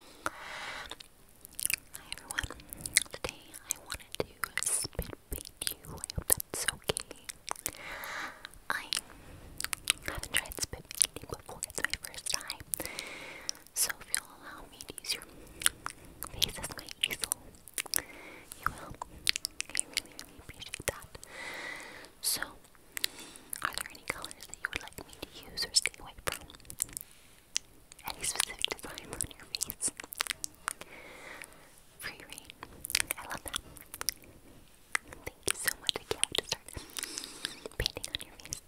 Hi everyone. Today I wanted to spit paint you. I hope that's okay. I haven't tried spit painting before. It's my first time. So if you'll allow me to use your face as my easel, you will. I really, really appreciate that. So, are there any colors that you would like me to use or stay away from? any specific designs on your face. Free reign. I love that. Thank you so much. I can't wait to start painting on your face.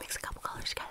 Mix a couple colors together.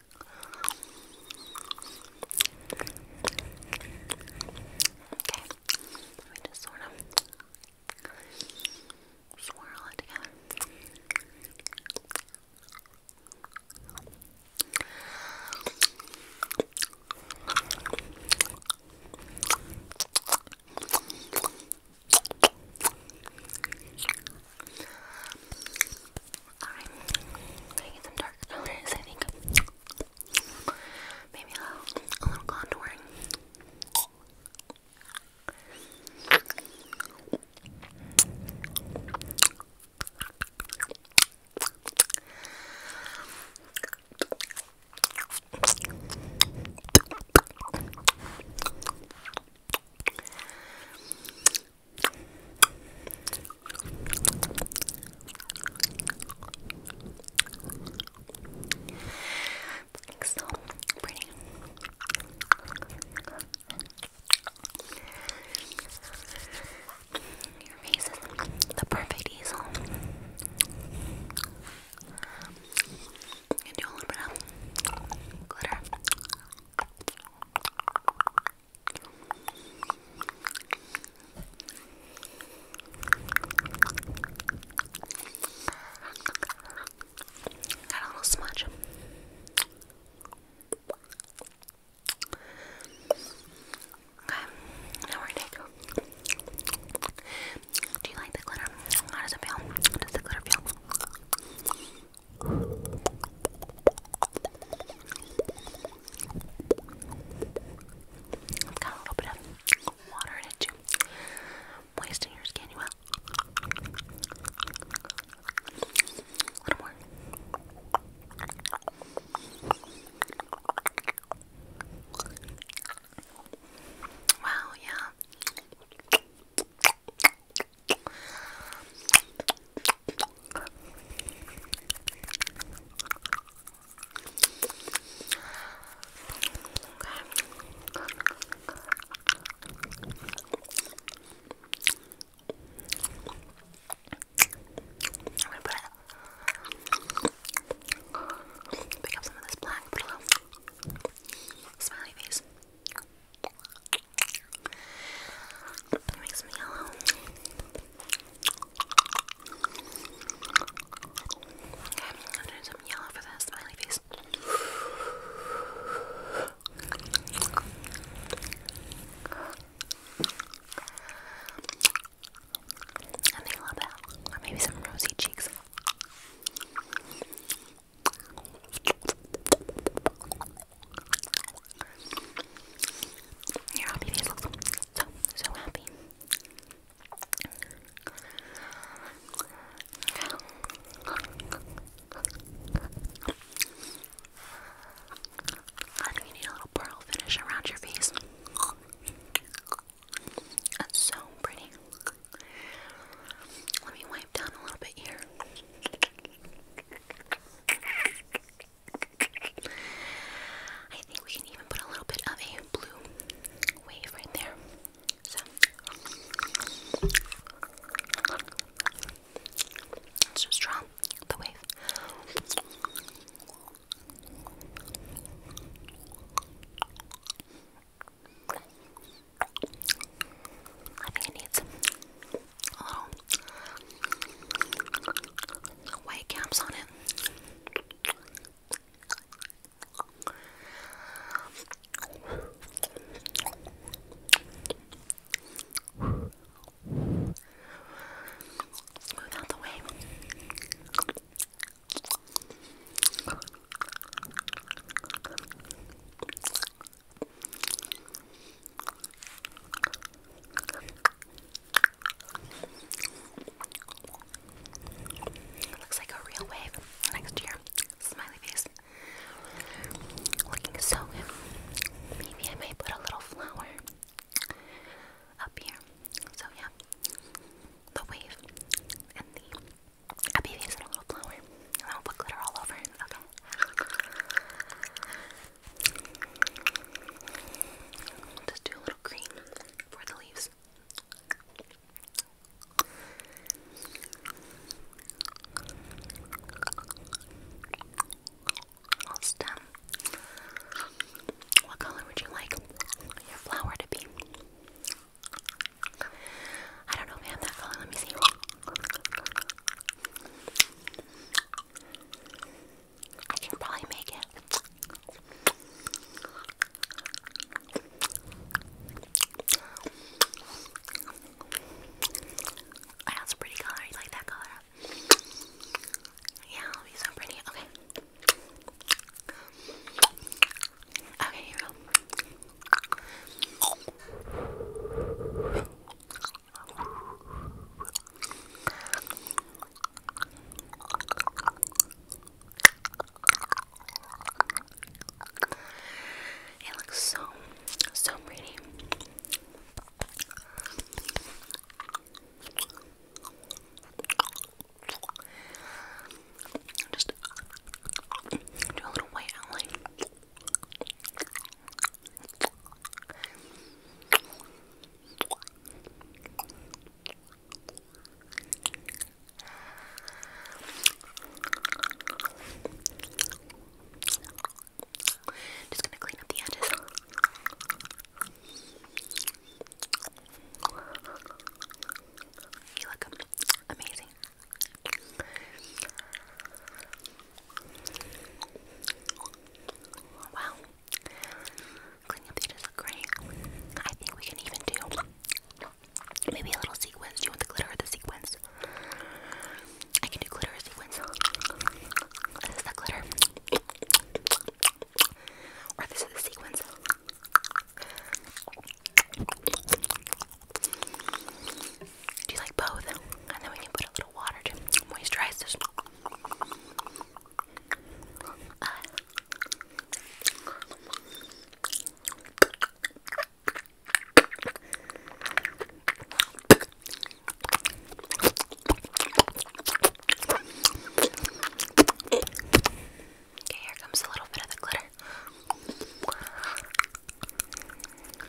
Okay, we just sort of swirl it together. I'm gonna get some dark colors, I think. Maybe a little, contouring. Like so pretty. Your face is the perfect easel. And do a little bit of glitter. Got a little smudge. Okay, now we're gonna take. Do you like the glitter? How does it feel? How does the glitter feel? a little bit of water in it too. Moisten your skin, you will. A little more. Wow, yeah. I'm gonna put it. Pick up some of this black, put a little smiley face. Okay. That makes me yellow. Okay, i some yellow for this smiley face. I think love that. maybe some rosy cheeks. Your happy face looks so, so happy. I do you need a little pearl finish around your face. That's so pretty. Let me wipe down a little bit here. I think we can even put a little bit of a blue wave right there. So let's just draw the wave. I think it needs little white caps on it. let out the way. Looks like a real wave next year. Smiley face. Looking so good. Maybe I might put a little flower up here. So yeah. The wave and the happy a little flower. And I'll put glitter all over. Okay. Just do a little green for the leaves. stem. What color would you like your flower to be? I don't know if that color. Let me see. I can probably make it. Oh, that's a pretty color. You like that color? Yeah, it'll be so pretty. Okay. Okay, here we go. It looks so, so pretty. Just do a little white outline. Just gonna clean up the edges. You look amazing. Wow. Cleaning theaters look great. I think we can even do maybe a little sequence. Do you want the glitter or the sequins? I can do glitter or sequins. This is the glitter. Or this is the sequins. Do you like both? And then we can put a little water to moisturize this. Okay, here comes a little bit of the glitter.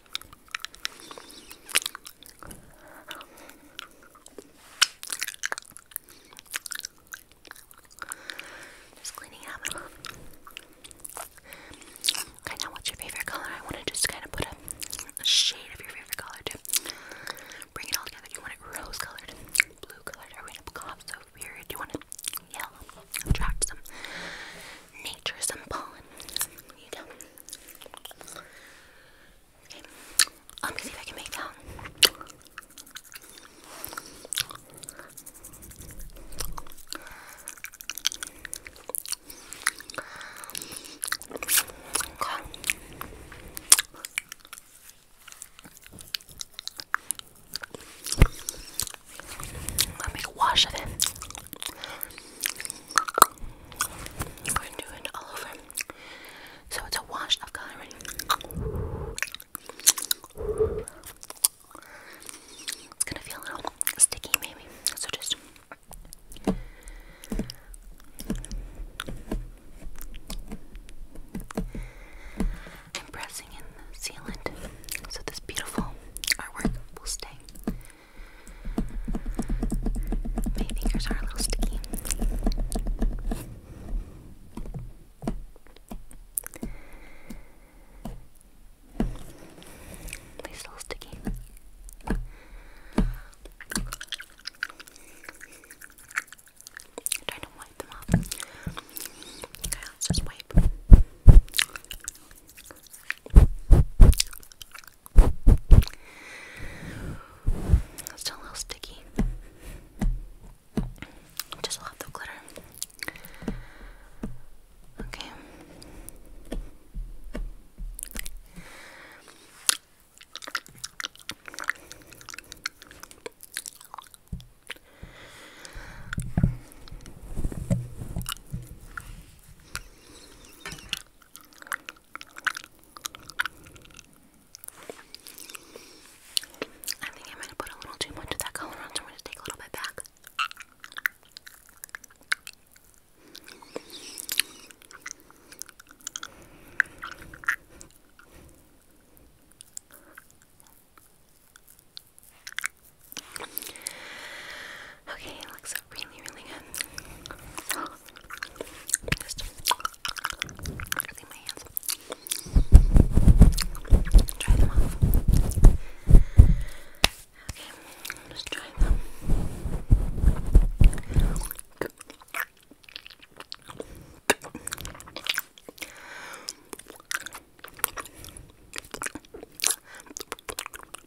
Okay, now what's your favorite color? I want to just kind of put a, shade of your favorite color to bring it all together. you want it rose colored, blue colored? Are we gonna go so weird? Do you want it yellow? Attract some nature some pollen. Let me see if I can make that. I'll make a wash of it. I'm going all over. So it's a wash of coloring. It's gonna feel a little sticky, maybe. So just. i in the sealant so this beautiful artwork will stay. My fingers are a little sticky. They're still sticky. trying to wipe them off. just wipe. It's still a little sticky. Just a lot of glitter. Okay. I think I might have put a little too much of that color on, so I'm going to take a little bit back. Okay, it looks really, really good. just Try them off. Okay, just try them.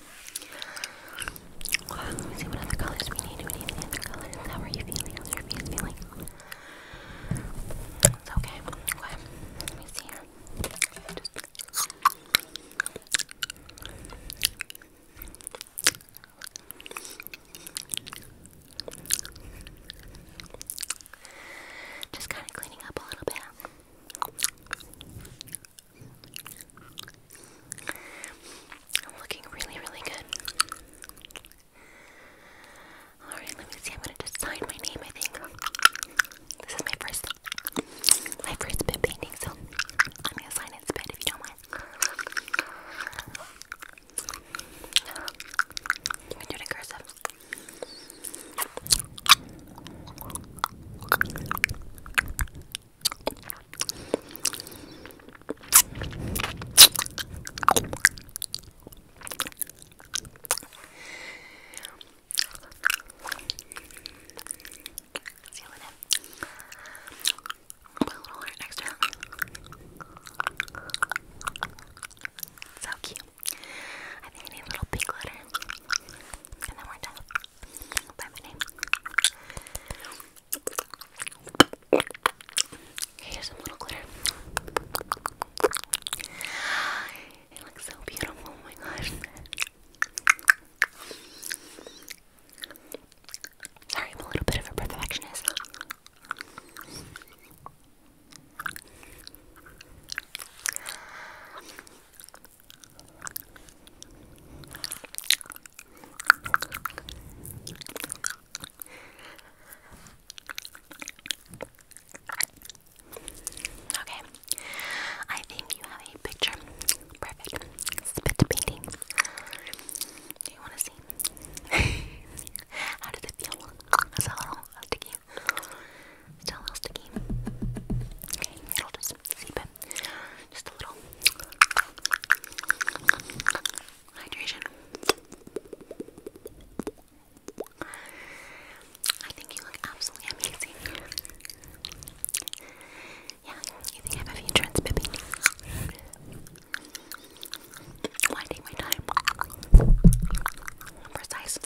Let me see what other colors we need. We need any other colors. How are you feeling? How's your face feeling? It's okay. Let me see here. Just kind of cleaning up a little bit. Looking really, really good. Alright, let me see. I'm gonna just sign my name, I think. This is my first my first bit painting, so I'm gonna sign it spit if you don't mind. Let me do it in See what I'll put a little alert next to that. So cute. I think I need a little pink glitter. And then we're done. By my name. Here's some little glitter. It looks so beautiful. Oh my gosh. Sorry, I'm a little bit of a perfectionist. Okay, I think you have a picture. Perfect. Spit painting. Do you want to see? How does it feel? It's a little sticky. Still a little sticky. Okay, it'll just seep just a little hydration. I think you look absolutely amazing. Yeah, you think I have a few trends, baby? Why my time? precise.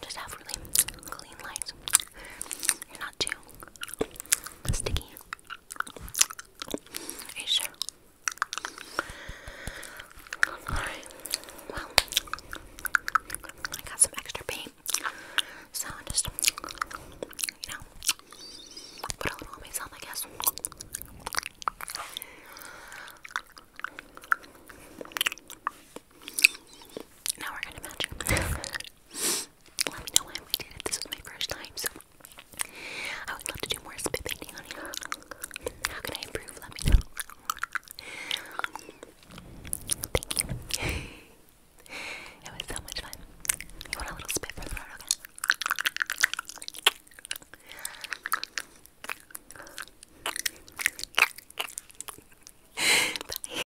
Just have really clean lines not too sticky. Are sure? Well, I got some extra paint. So I just, you know, put a little on I guess. Now we're gonna match Let me know why we did it. This was my first time, so I would love to do more spit painting on you. How can I improve? Let me know. Thank you. it was so much fun. You want a little spit for the road, Bye.